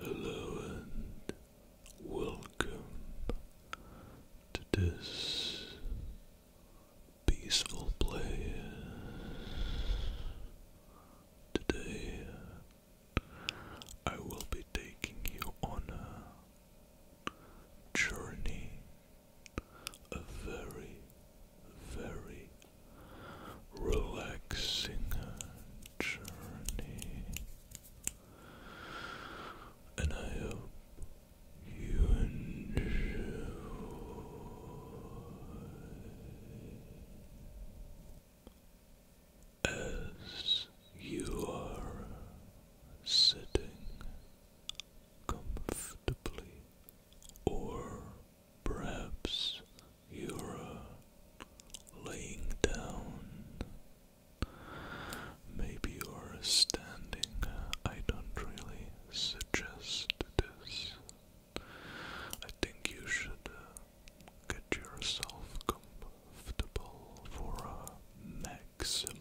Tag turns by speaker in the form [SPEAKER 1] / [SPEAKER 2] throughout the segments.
[SPEAKER 1] Hello. and welcome to this peaceful place. Today I will be taking you on journey, a very, very relaxing journey, and I hope you enjoy. As you are sitting comfortably, or perhaps you're uh, laying down. Maybe you're standing. Uh, I don't really suggest this. I think you should uh, get yourself comfortable for a maximum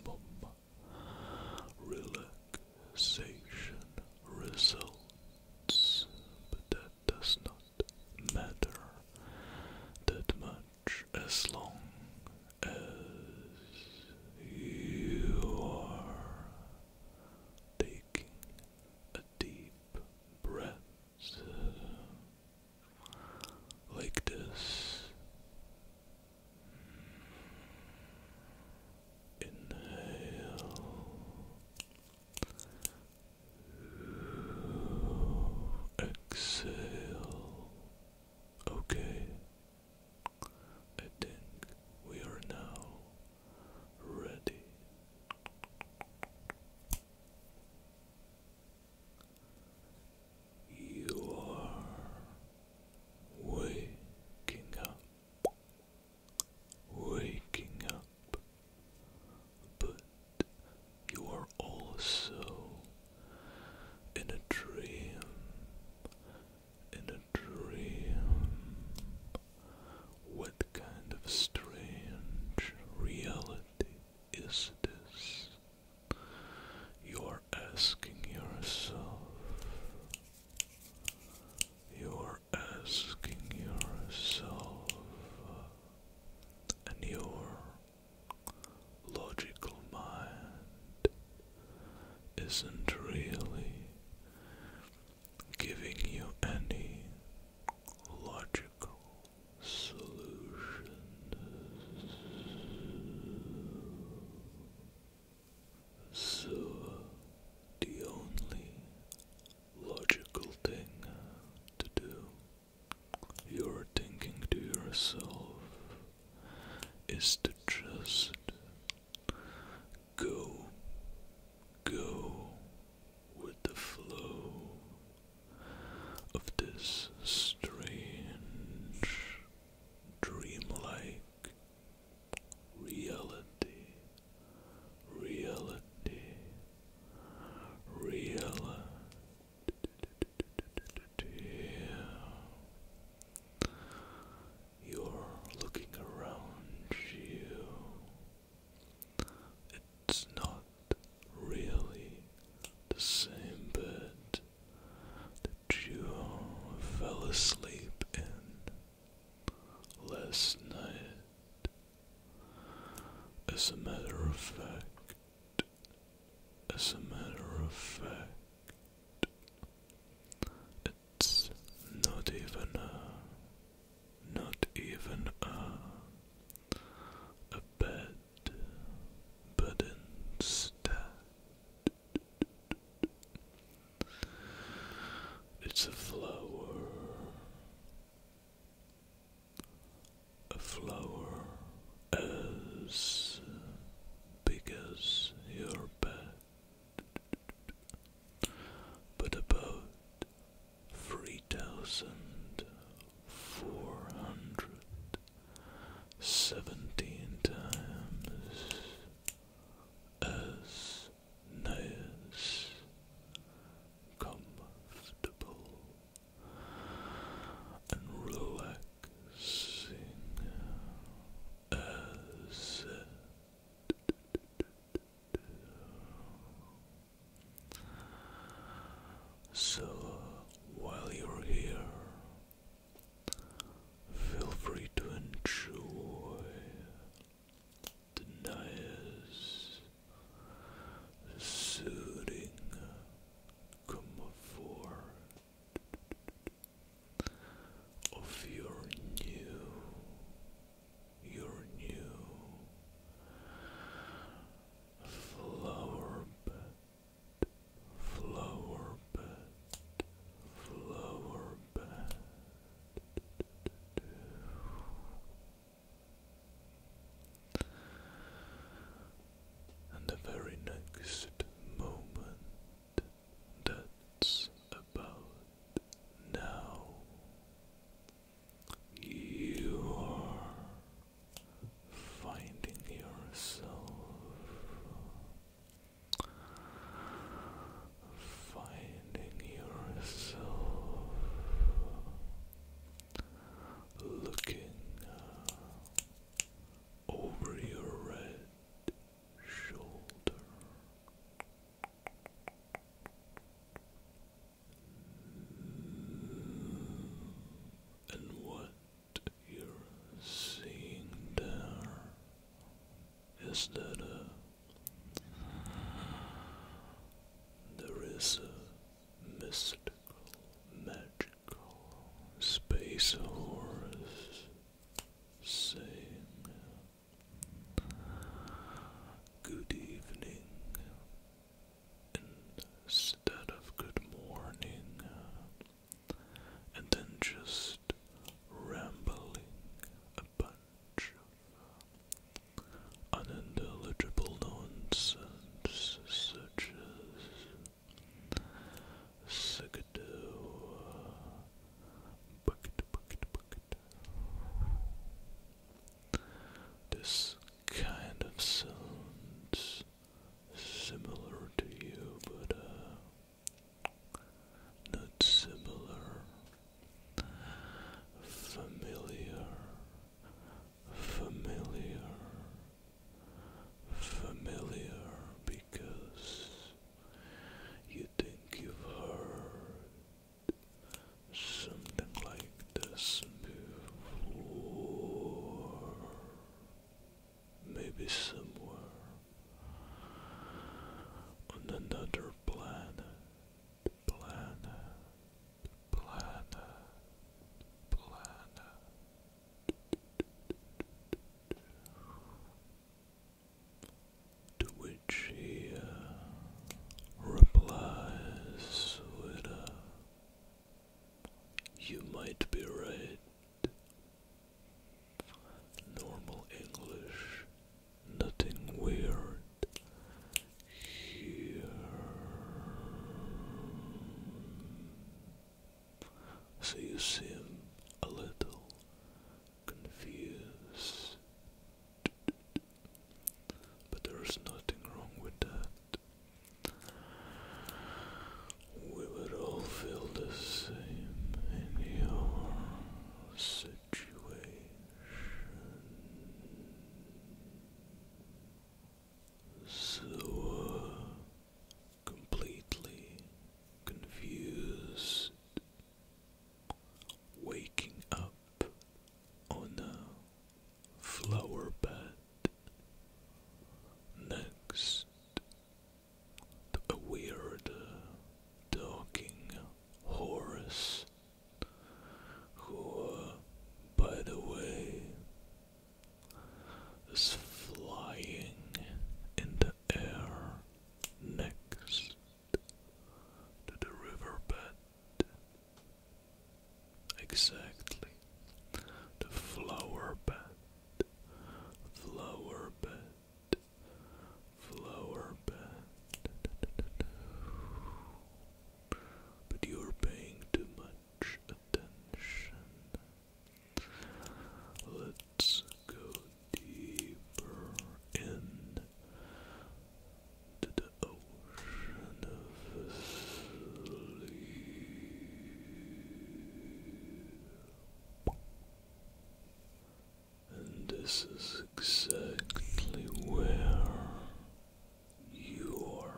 [SPEAKER 1] relaxation results, but that does not matter that much as long as you are taking a deep breath like this. Inhale. Exhale. Okay. I think we are now ready. You are waking up, waking up, but you are also in a dream, in a dream. What kind of strange reality is this? You're asking yourself. You're asking yourself. And your logical mind isn't really giving you any logical solution. So, the only logical thing to do, you're thinking to yourself, is to just go, go with the flow of this strange dreamlike reality, reality, reality. You're looking around you. It's not really the same bed, that you fell asleep last night. As a matter of fact, as a matter of fact, it's not even a, not even a, a bed, but instead it's a flower. A flower as big as your bed, but about three thousand four hundred seventeen times as nice, comfortable, and relaxing as. So, while you're here, Feel free to enjoy the nice, soothing comfort of your new, your new flower bed flower bed, flower bed. And the very next moment, that's about now, you are finding yourself, finding yourself, looking uh, over your red shoulder. And what you're seeing there is that uh, there is a mystical, magical space horse saying, Good evening, instead of good morning, uh, and then just rambling a bunch unintelligible nonsense such as Sigadoo, uh, bucket, bucket, bucket. This kind of sounds similar to you, but uh, not similar. Familiar, familiar, familiar because you think you've heard something like this before. Maybe somewhere on another planet, planet, planet, planet. To which he uh, replies with you might be right. Normal English, nothing weird here. So you seem a little confused, but there's nothing wrong with that. We would all feel the same in your situation. So uh, completely confused, waking up on oh, a flower bed. Next, a weird talking horse, who, by the way, is flying in the air next to the riverbed Exactly. The flower bed. Flower bed. Flower bed. But you're paying too much attention. Let's go deeper in the ocean. Oh, and this is exactly where you're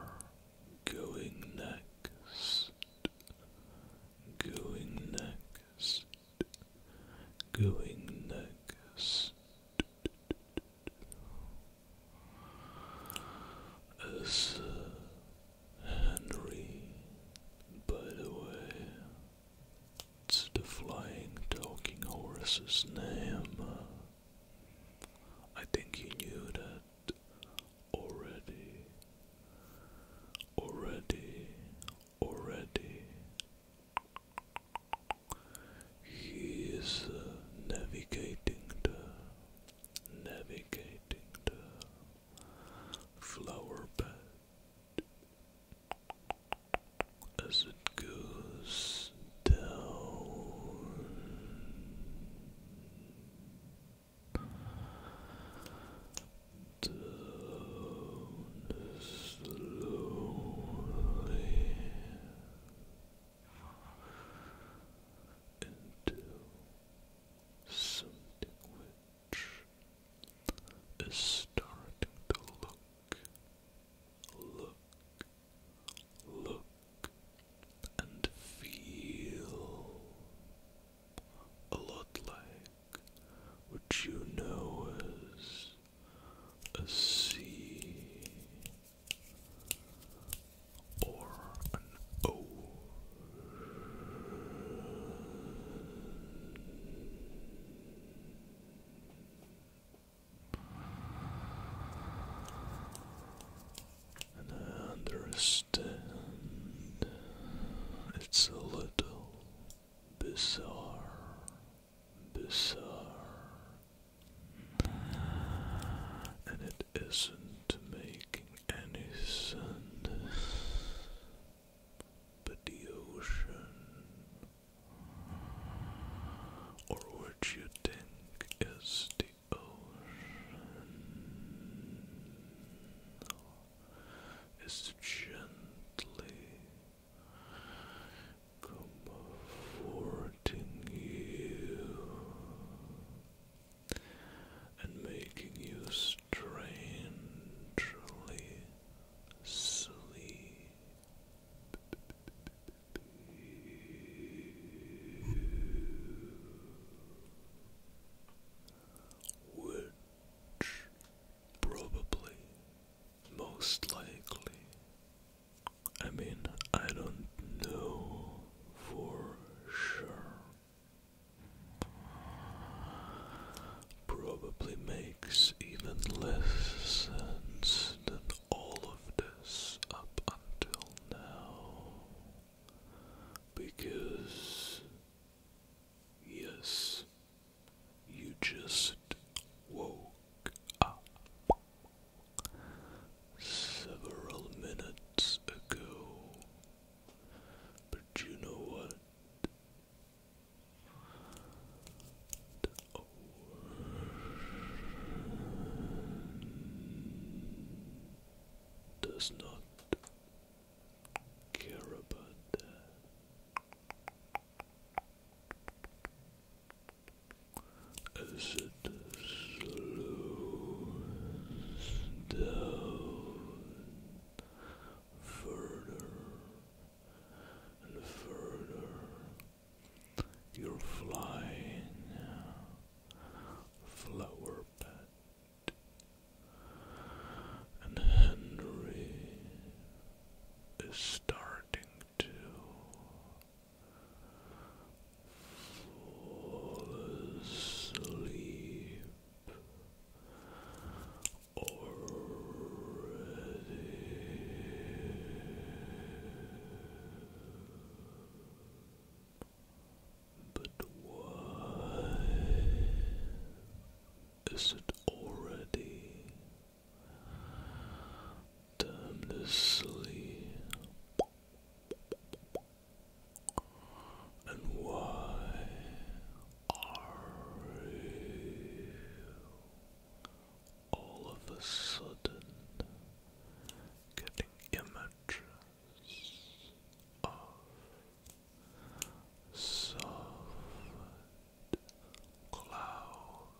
[SPEAKER 1] going next. Going next. Going next as Henry, by the way. It's the flying talking horse's name. I think you knew that already. Already, already. He is uh, navigating the navigating the flower bed as it goes down. Down slowly into something which is starting to look, look, look, and feel a lot like what you know as a sea or an O. And understand it's a little bizarre, bizarre, and it isn't making any sense. But the ocean, or what you think is the ocean, is gently come forward comforting you and making you strangely sleep. Which probably most likely I mean, I don't know for sure. Probably makes even less sense than all of this up until now. Because, yes, you just woke up several minutes ago. But you know what? Oh. Does not care about that as it slows down further and further. You're flying flower pet and Henry is starting to Fall asleep already. But why is it already Time to sleep. And why are you all of a sudden getting images of soft clouds?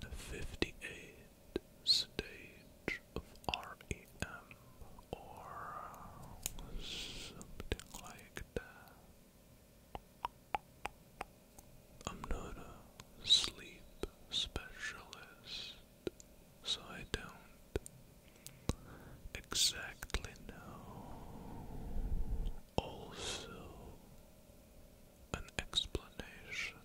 [SPEAKER 1] The 58th stage of REM, or uh, something like that. I'm not a sleep specialist, so I don't exactly know. Also, an explanation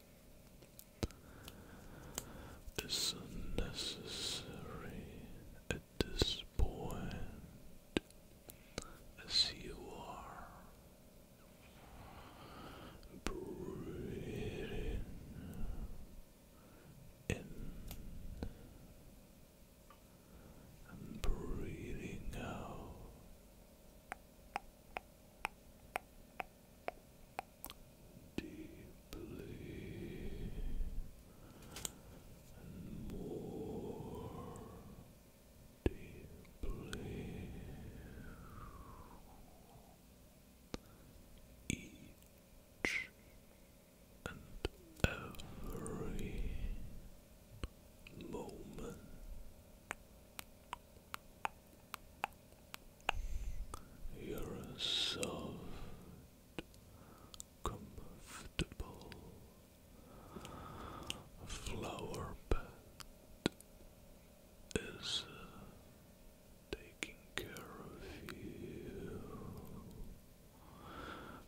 [SPEAKER 1] is necessary at this point, as you are breathing in and breathing out deeply and more deeply each and every moment you're a soft, comfortable flower bed is uh, taking care of you,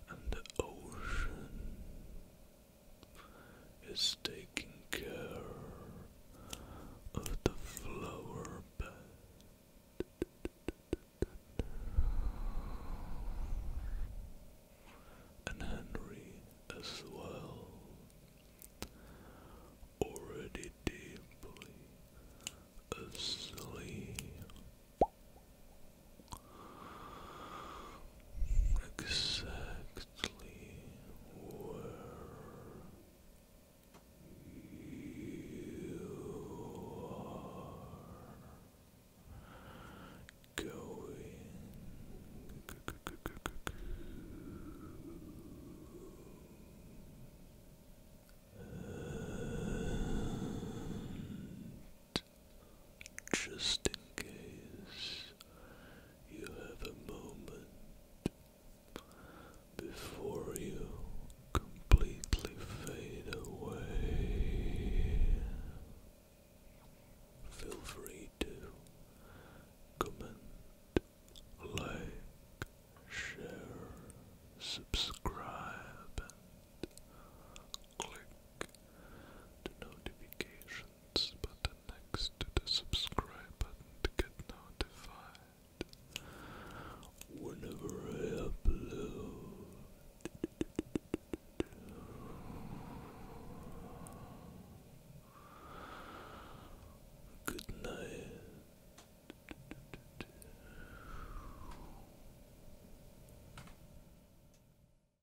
[SPEAKER 1] and the ocean is taking care of the flower bed. And Henry as well, already deeply asleep, exactly mostly you are going just in case you have a moment before you completely fade away. Feel free to comment, like, share, subscribe, and click the notification button next to the subscribe button to get notified whenever I upload. Good night.